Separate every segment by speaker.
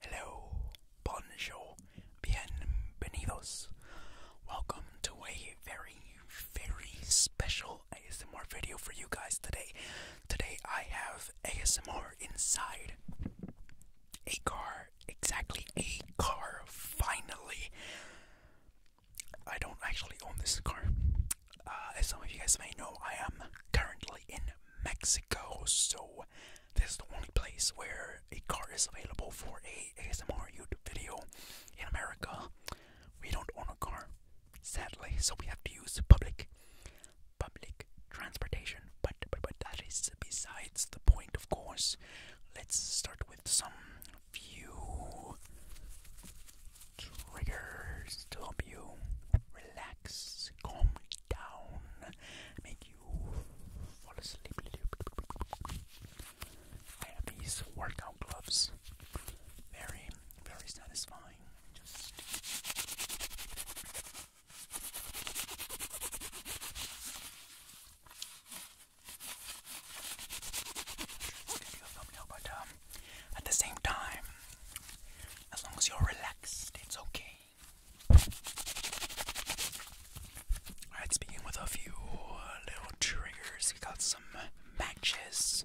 Speaker 1: Hello, bonjour, bienvenidos. Welcome to a very, very special ASMR video for you guys today. Today I have ASMR inside a car, exactly a car, finally. I don't actually own this car. Uh, as some of you guys may know, I am currently in Mexico, so this is the only place where a car is available for a ASMR YouTube video in America. We don't own a car, sadly, so we have to use public public transportation. But but but that is besides the point, of course. Let's start with some few triggers to help you relax, calm down, make you fall asleep. I have these workout gloves, very, very satisfying. Um, at the same time, as long as you're relaxed, it's okay. Alright, speaking with a few little triggers, we got some matches.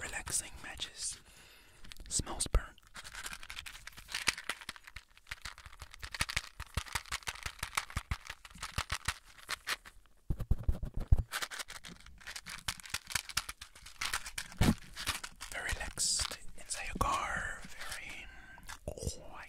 Speaker 1: Relaxing matches. Smells burnt. Very relaxed inside your car, very quiet.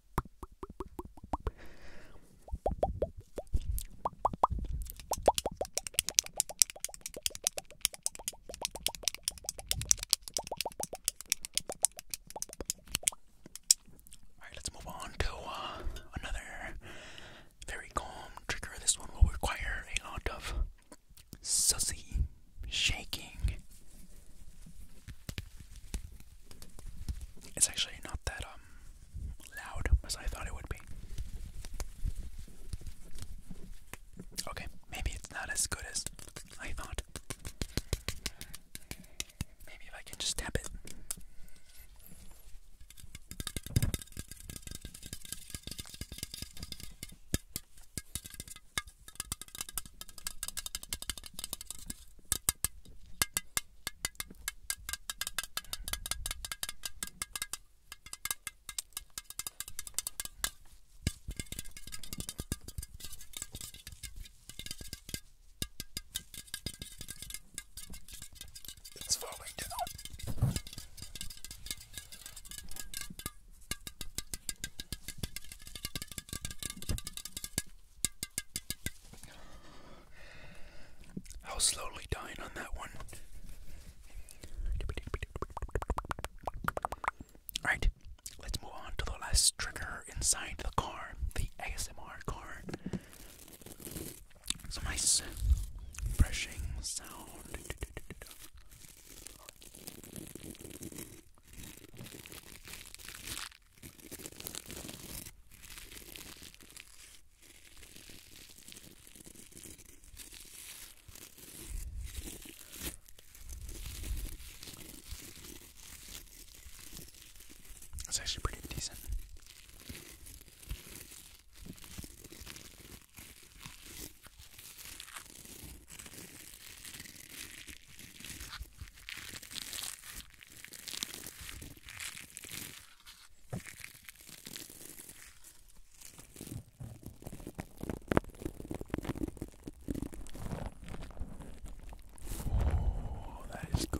Speaker 1: All right, let's move on to uh, another very calm trigger. This one will require a lot of sussy shaking. It's actually not that uh, um, loud as I thought it would be. Okay, maybe it's not as good as I thought. Maybe if I can just tap it. It's falling down. I was slowly dying on that one. Alright, let's move on to the last trigger inside the car, the ASMR car. Some nice brushing sound. That's actually pretty decent. Oh, that is good.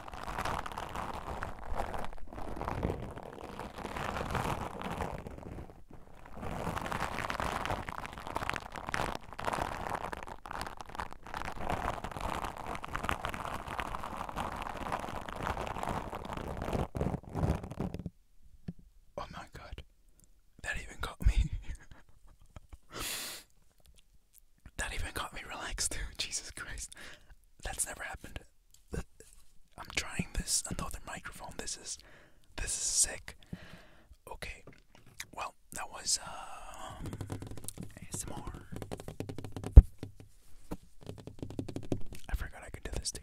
Speaker 1: Oh my god, that even got me. That even got me relaxed. Jesus Christ. That's never happened. I'm trying this another microphone. This is this is sick. Okay. Well, that was um uh, ASMR. I forgot I could do this too.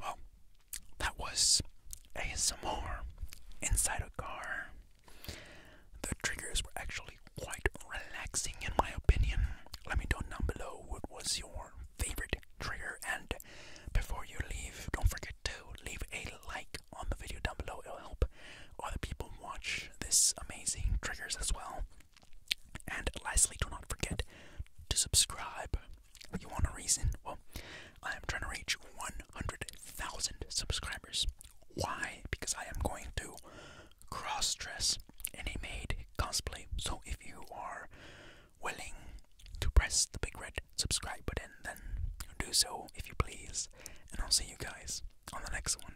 Speaker 1: Well, that was ASMR inside a car. The triggers were actually quite relaxing, in my opinion. Let me know down below what was your favorite trigger. And before you leave, don't forget to leave a like on the video down below. It'll help other people watch this amazing triggers as well. And lastly, do not forget to subscribe. You want a reason? Well, I am trying to reach 100,000 subscribers. Why? Because I am going to cross in a maid cosplay. So if you are willing to press the big red subscribe button, then do so if you please. And I'll see you guys on the next one.